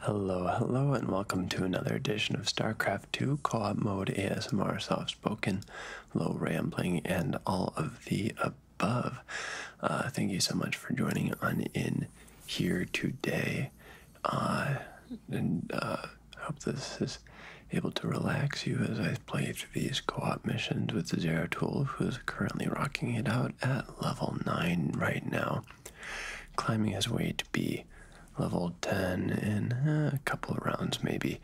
Hello, hello, and welcome to another edition of StarCraft 2 Co-op Mode ASMR Soft Spoken, Low Rambling, and all of the above. Uh, thank you so much for joining on in here today. Uh, and I uh, hope this is able to relax you as I play these co-op missions with the Zero Tool, who is currently rocking it out at level 9 right now climbing his way to be level 10 in uh, a couple of rounds, maybe.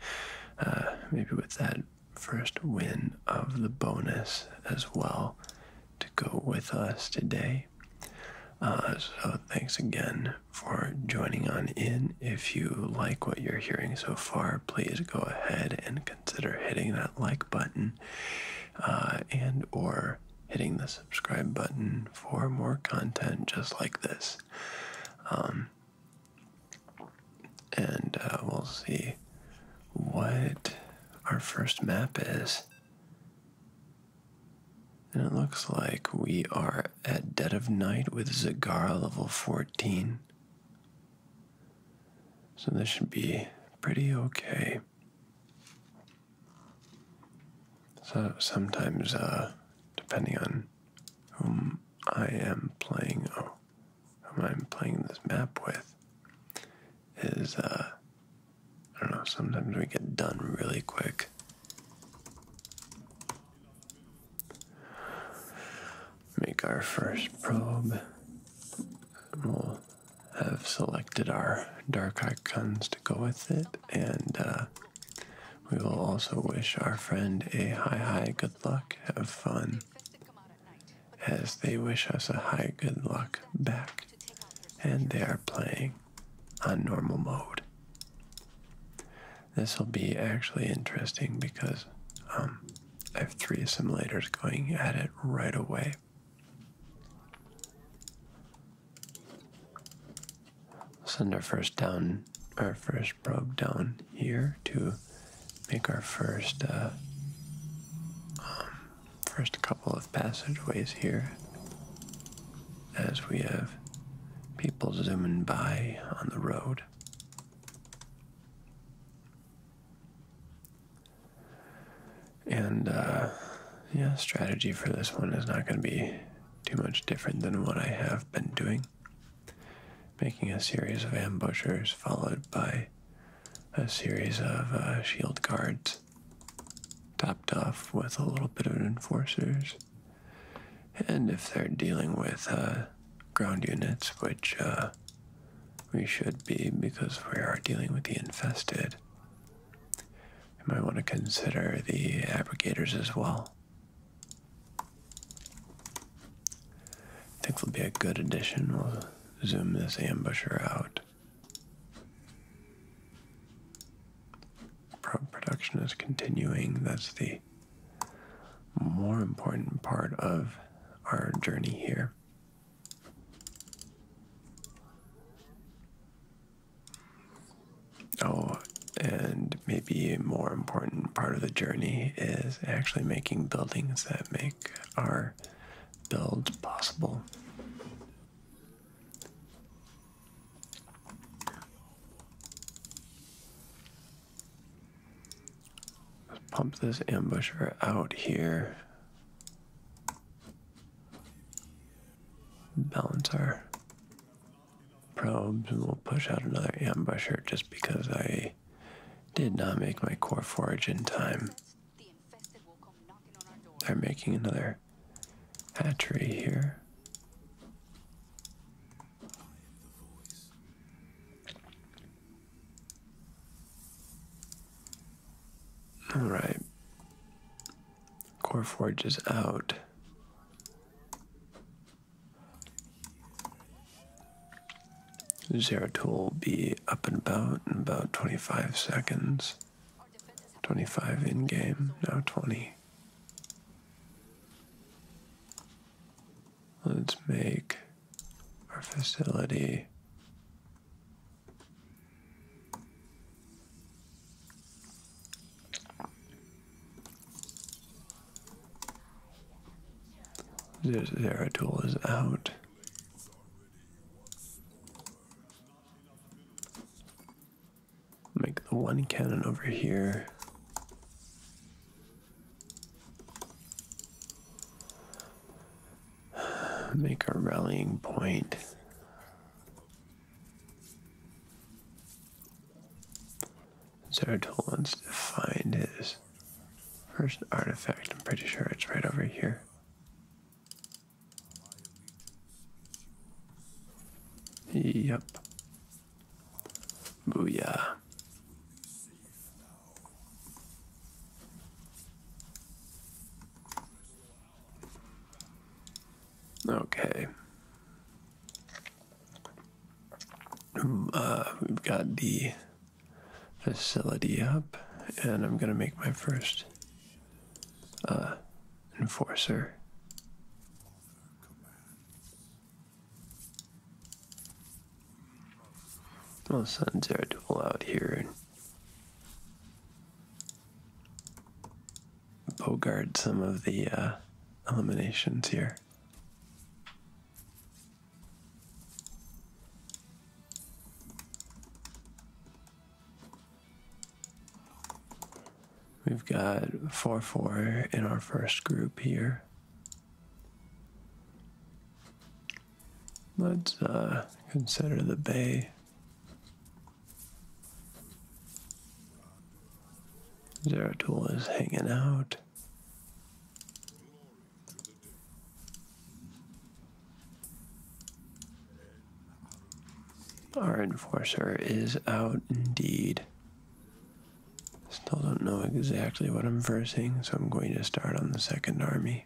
Uh, maybe with that first win of the bonus as well to go with us today. Uh, so, thanks again for joining on in. If you like what you're hearing so far, please go ahead and consider hitting that like button and or hitting the subscribe button for more content just like this. Um, and uh, we'll see what our first map is. And it looks like we are at dead of night with Zagara level 14. So this should be pretty okay. So sometimes, uh, depending on whom I am playing or oh, I'm playing this map with, is, uh, I don't know, sometimes we get done really quick. Make our first probe, have selected our dark icons to go with it, and uh, we will also wish our friend a high, high good luck. Have fun as they wish us a high good luck back, and they are playing on normal mode. This will be actually interesting because um, I have three assimilators going at it right away. Send our first down, our first probe down here to make our first, uh, um, first couple of passageways here. As we have people zooming by on the road. And uh, yeah, strategy for this one is not going to be too much different than what I have been doing. Making a series of ambushers followed by a series of uh, shield guards, topped off with a little bit of enforcers. And if they're dealing with uh, ground units, which uh, we should be because we are dealing with the infested, you might want to consider the abrogators as well. I think they'll be a good addition. We'll zoom this ambusher out. production is continuing. That's the more important part of our journey here. Oh, and maybe a more important part of the journey is actually making buildings that make our build possible. pump this ambusher out here balance our probes and we'll push out another ambusher just because I did not make my core forage in time. They're making another hatchery here. Alright. Core Forge is out. Zero tool will be up and about in about 25 seconds. 25 in game, now 20. Let's make our facility this tool is out. Make the one cannon over here make a rallying point. Zeratul wants to find his first artifact. I'm pretty sure it's right over here. Yep. Booyah. Okay. Uh, we've got the facility up, and I'm going to make my first uh, enforcer. I'll are Zeratul out here bogard some of the uh, eliminations here. We've got 4-4 in our first group here. Let's uh, consider the bay Zeratul is hanging out. Our enforcer is out indeed. Still don't know exactly what I'm versing, so I'm going to start on the second army.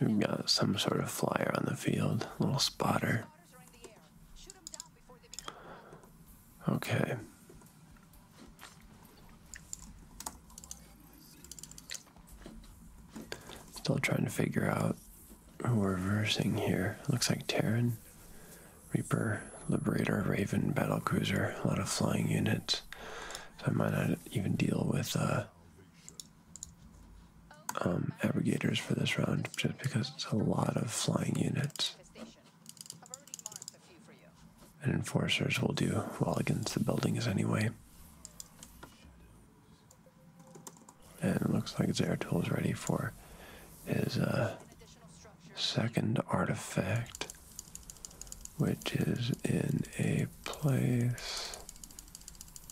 We've got some sort of flyer on the field, little spotter. Okay. Still trying to figure out who we're versing here. looks like Taren, Reaper, Liberator, Raven, Battle Cruiser, a lot of flying units. So I might not even deal with uh, um, for this round just because it's a lot of flying units. And enforcers will do well against the buildings anyway. And it looks like Zeratul is ready for his uh, second artifact, which is in a place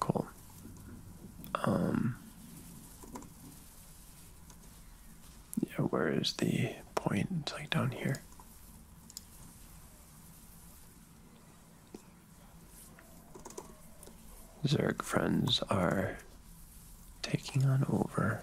Cool. Um, yeah, where is the point? It's like down here. Zerg friends are taking on over.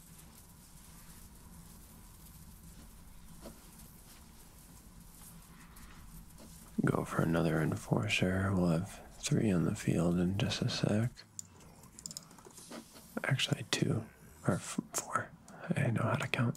Go for another enforcer. We'll have three on the field in just a sec. Actually, two or four. I know how to count.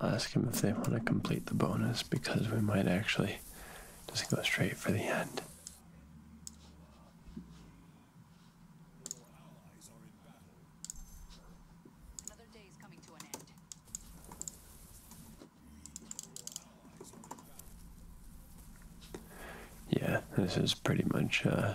I'll ask him if they want to complete the bonus because we might actually just go straight for the end. Yeah, this is pretty much uh,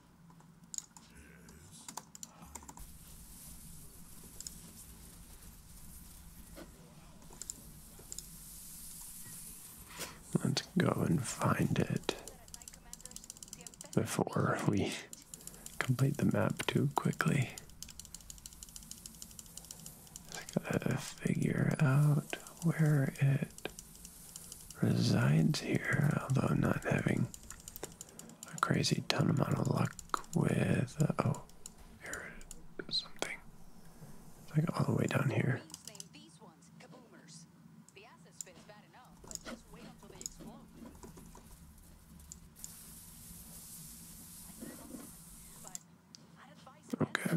Let's go and find it before we complete the map too quickly. Just gotta figure out where it resides here, although I'm not having a crazy ton amount of luck with. Uh, oh, here Something. It's like all the way down here. Okay.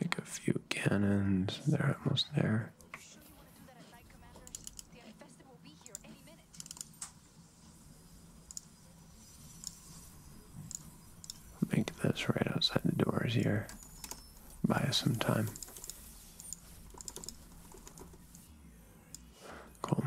Make a few cannons. They're almost there. Make this right outside the doors here. Buy us some time. Cool.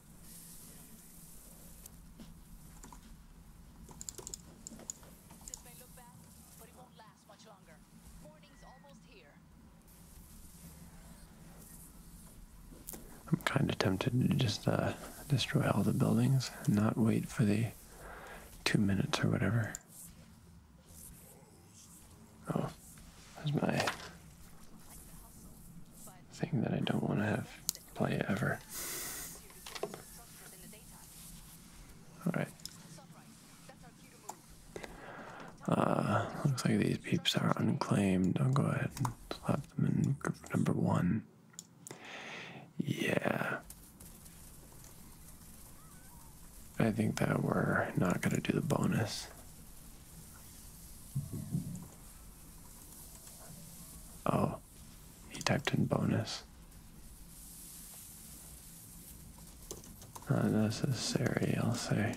I'm kind of tempted to just uh, destroy all the buildings and not wait for the two minutes or whatever. Oh, there's my thing that I don't want to have play ever. Alright. Uh, looks like these peeps are unclaimed. I'll go ahead and slap them in group number one. Yeah. I think that we're not going to do the bonus. Oh, he typed in bonus. Not necessary, I'll say.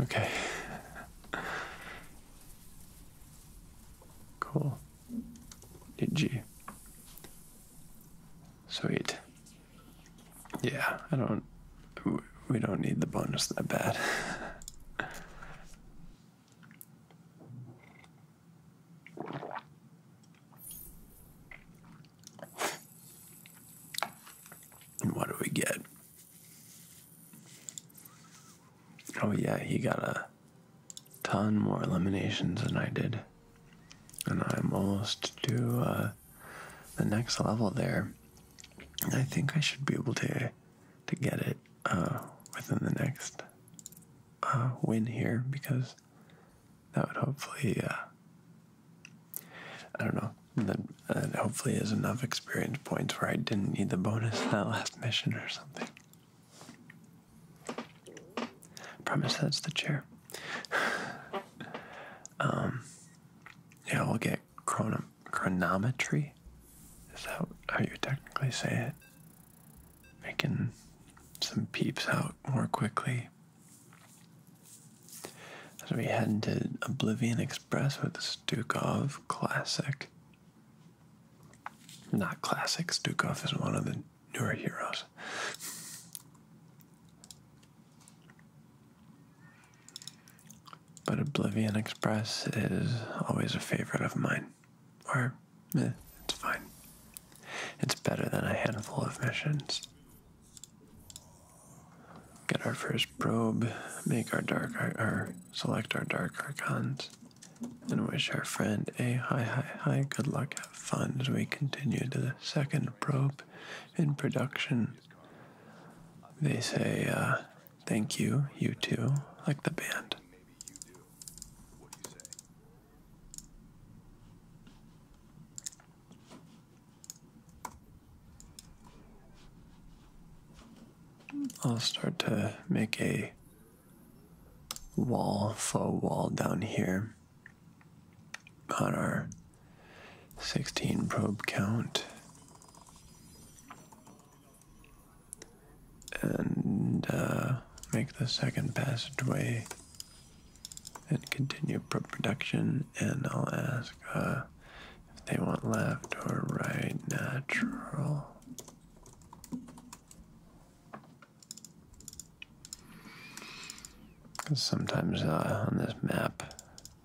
Okay. cool. D G. Sweet. Yeah, I don't. We don't need the bonus that bad. and what do we get? Oh, yeah, he got a ton more eliminations than I did. And I'm almost to uh, the next level there. I think I should be able to to get it uh, within the next uh, win here because that would hopefully uh, I don't know that, hopefully is enough experience points where I didn't need the bonus in that last mission or something. I promise that's the chair. um, yeah, we'll get chronometry. Is that how you technically say it? Making some peeps out more quickly. So we head into Oblivion Express with Stukov Classic. Not classic, Stukov is one of the newer heroes. But Oblivion Express is always a favorite of mine. Or, eh, it's fine. It's better than a handful of missions. Get our first probe, make our dark Our select our dark archons, and wish our friend a high, high, hi good luck, have fun as we continue to the second probe in production they say uh, thank you, you too, like the band. I'll start to make a wall, faux wall down here on our 16 probe count. And uh, make the second passageway and continue probe production. And I'll ask uh, if they want left or right natural. Sometimes uh, on this map,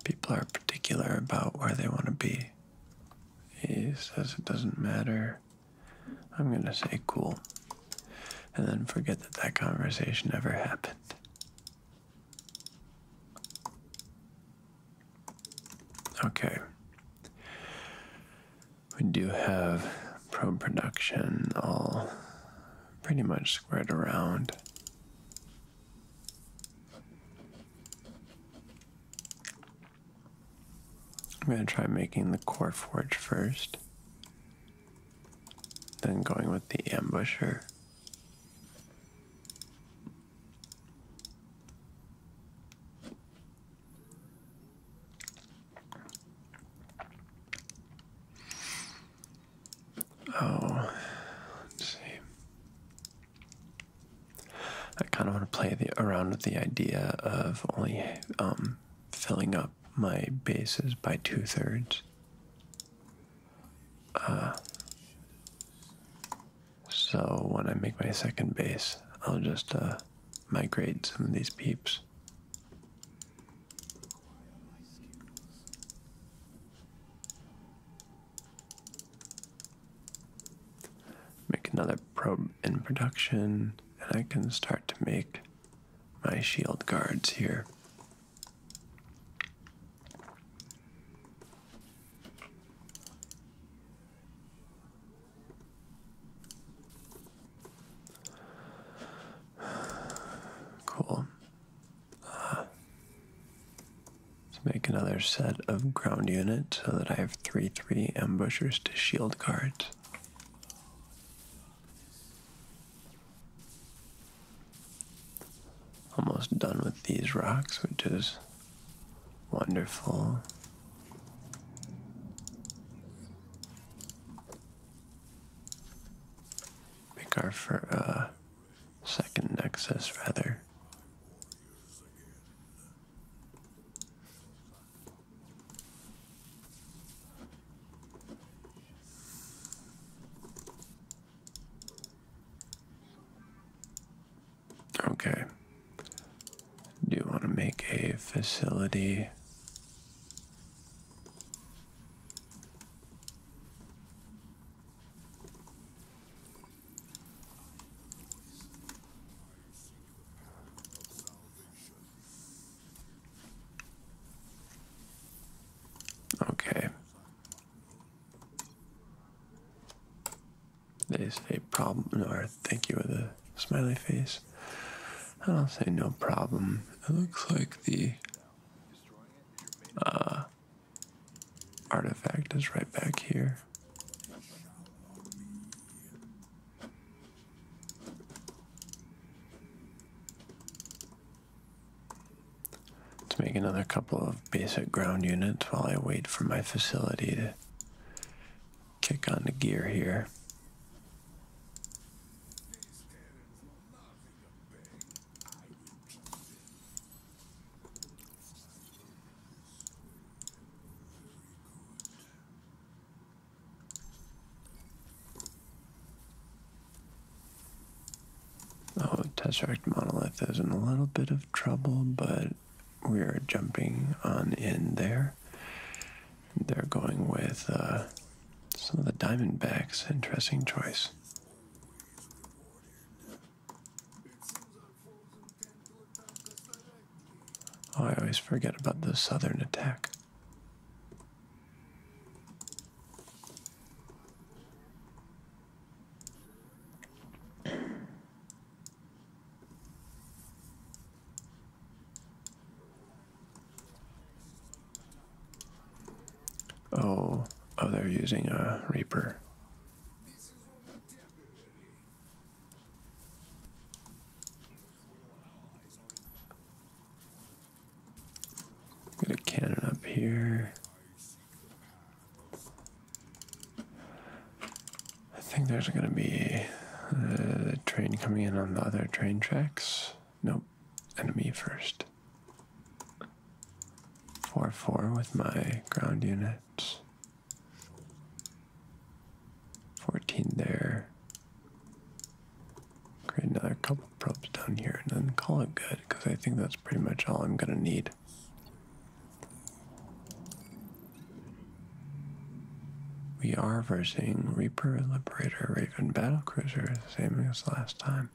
people are particular about where they want to be. He says it doesn't matter. I'm going to say cool. And then forget that that conversation ever happened. Okay. We do have pro production all pretty much squared around. I'm going to try making the core forge first, then going with the ambusher. Oh, let's see. I kind of want to play the, around with the idea of only um, filling up my bases by two thirds. Uh, so when I make my second base, I'll just uh, migrate some of these peeps. Make another probe in production, and I can start to make my shield guards here. Cool let's make another set of ground units so that I have 3 3 ambushers to shield guards. Almost done with these rocks, which is wonderful. Make our for, uh, second nexus rather. Okay. Do you want to make a facility? Okay. That is a problem, or thank you with a smiley face. I don't say no problem. It looks like the uh, artifact is right back here. Let's make another couple of basic ground units while I wait for my facility to kick on the gear here. Oh, Tesseract Monolith is in a little bit of trouble, but we're jumping on in there. They're going with uh, some of the Diamondbacks. Interesting choice. Oh, I always forget about the southern attack. Oh, oh, they're using a uh, Reaper. Get a cannon up here. I think there's going to be a uh, train coming in on the other train tracks. Nope. Enemy first. 4 4 with my ground units. 14 there. Create another couple probes down here and then call it good because I think that's pretty much all I'm going to need. We are versing Reaper, Liberator, Raven, Battle Cruiser, same as last time.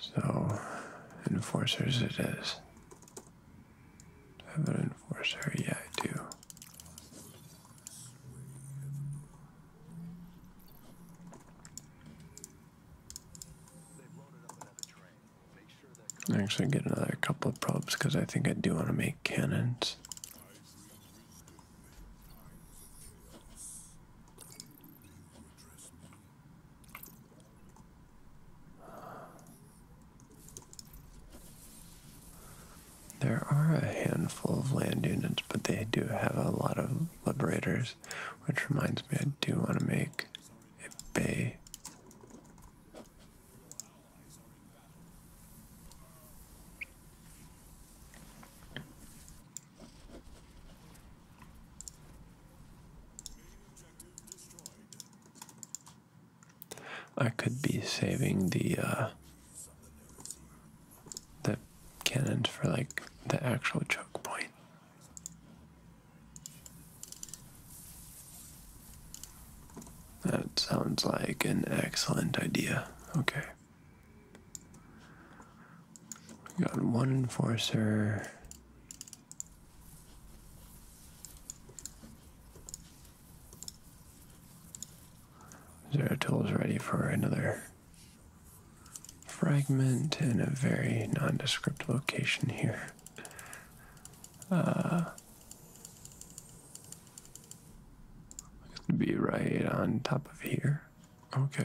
So, enforcers it is. have an enforcer? Yeah, I do. I actually get another couple of probes because I think I do want to make cannons. There are a handful of land units, but they do have a lot of liberators, which reminds me I do want to make a bay. I could be saving the uh, the cannons for like the actual choke point. That sounds like an excellent idea. Okay got one enforcer. Zeratul is ready for another fragment in a very nondescript location here. Uh, to be right on top of here. Okay.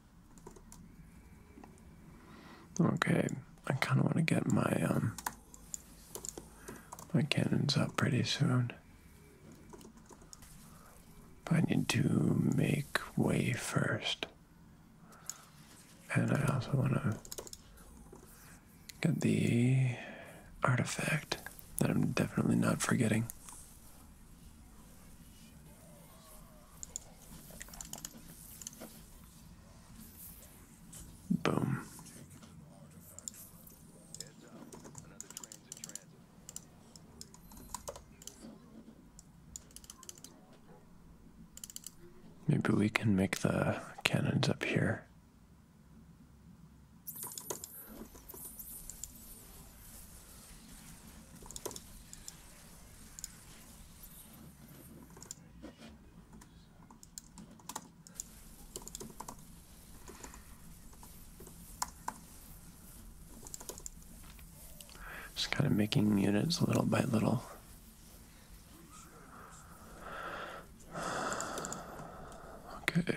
Okay, I kind of want to get my um, my cannons up pretty soon. But I need to make way first. And I also want to get the artifact that I'm definitely not forgetting. Boom. Maybe we can make the cannons up here. Just kind of making units little by little. Okay.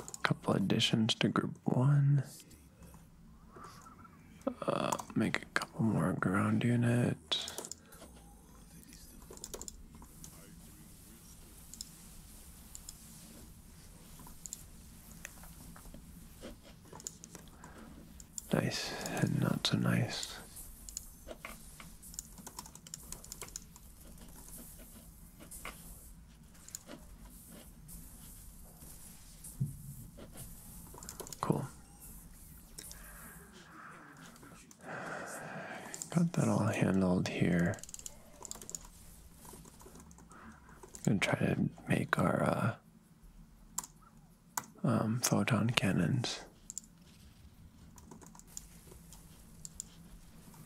A couple additions to group one. Uh, make a couple more ground units. Nice and not so nice. Cool. Got that all handled here. I'm gonna try to make our uh, um, photon cannons.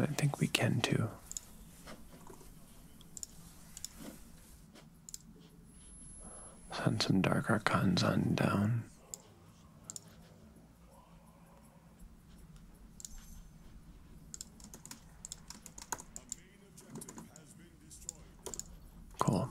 I think we can too. Send some dark archons on down. Cool.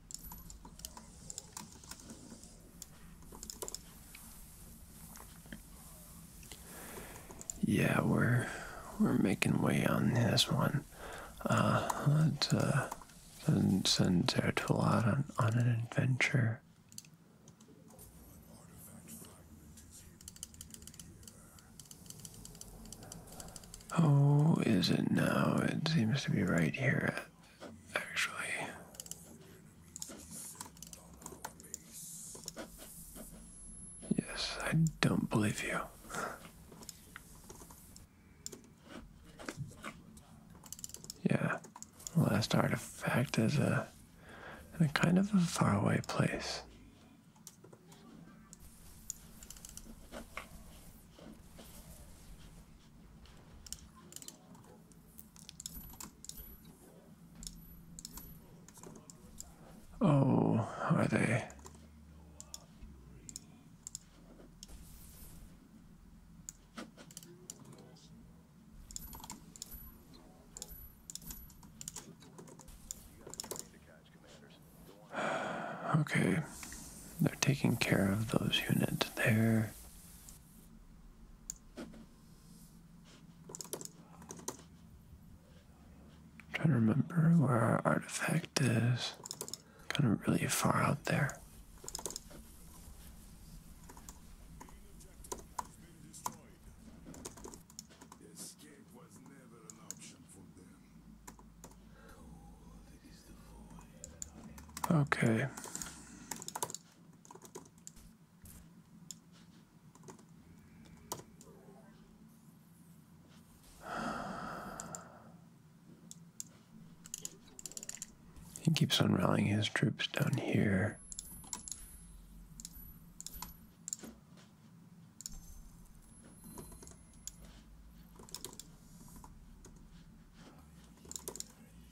Yeah, we're we're making way on this one. Uh, let's uh, send, send out on, on an adventure. Oh, is it now? It seems to be right here actually. Yes, I don't believe you. yeah, last artifact is a, a kind of a faraway place. Oh, are they? Okay, they're taking care of those units there trying to remember where our artifact is. Kind of really far out there. Okay. He keeps on rallying his troops down here.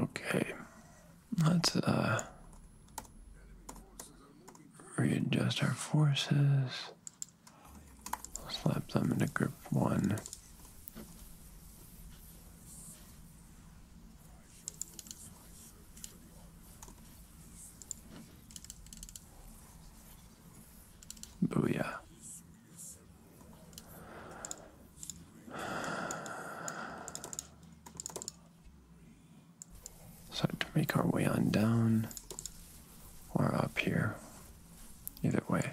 Okay, let's uh, readjust our forces. Slap them into group one. Booyah. Start to make our way on down or up here. Either way.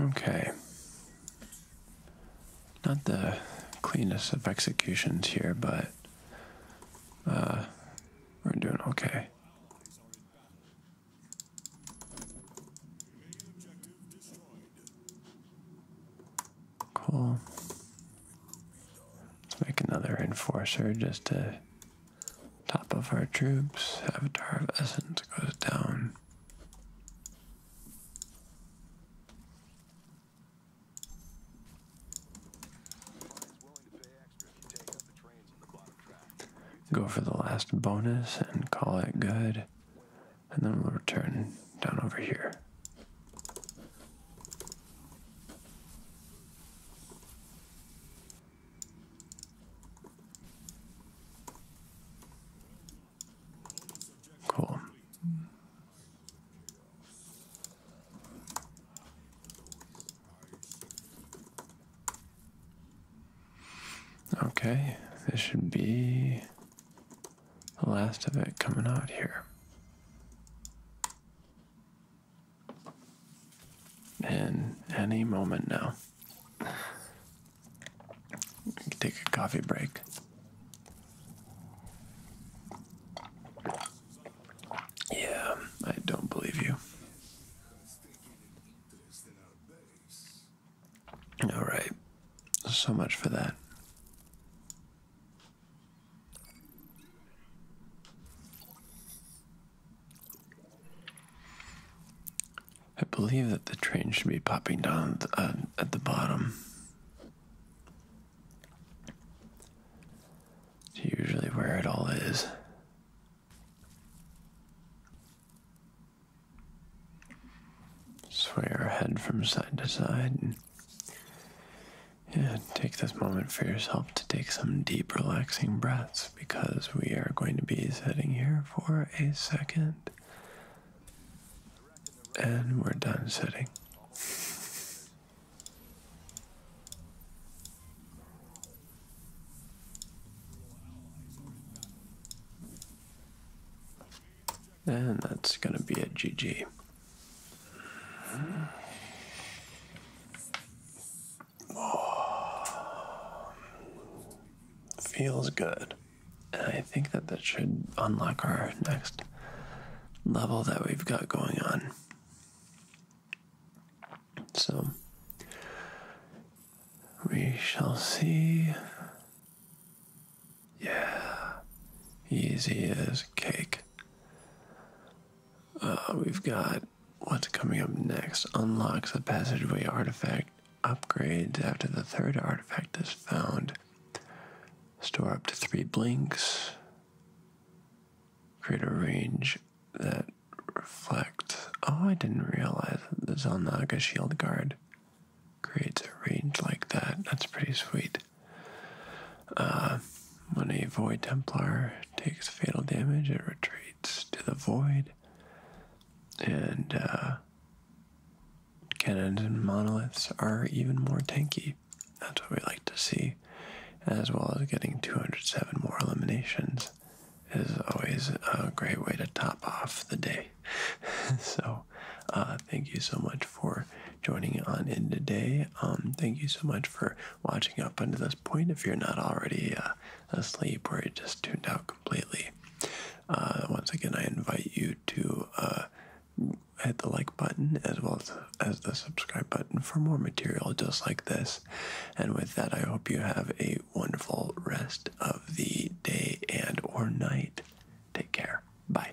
Okay. Not the cleanest of executions here, but uh, we're doing okay. Cool. Let's make another enforcer just to Top of our troops, Avatar of Essence goes down. Go for the last bonus and call it good, and then we'll return down over here. Cool. Okay, this should be the last of it coming out here in any moment now. Take a coffee break. Yeah, I don't believe you. All right, so much for that. I believe that the train should be popping down at the uh, bottom. It's usually where it all is. Sway our head from side to side and take this moment for yourself to take some deep, relaxing breaths because we are going to be sitting here for a second. And we're done sitting. And that's going to be a GG. feels good. And I think that that should unlock our next level that we've got going on. So we shall see. Yeah, easy as cake. Uh, we've got What's coming up next unlocks a passageway artifact. Upgrades after the third artifact is found. Store up to three blinks. Create a range that reflects. Oh, I didn't realize the Zelnaga shield guard creates a range like that. That's pretty sweet. Uh, when a Void Templar takes fatal damage, it retreats to the Void and uh, cannons and monoliths are even more tanky. That's what we like to see, as well as getting 207 more eliminations is always a great way to top off the day. so, uh, thank you so much for joining on in today. Um, thank you so much for watching up until this point. If you're not already uh, asleep or it just tuned out completely. Uh, once again, I invite you to uh, hit the like button as well as the subscribe button for more material just like this. And with that, I hope you have a wonderful rest of the day and or night. Take care. Bye.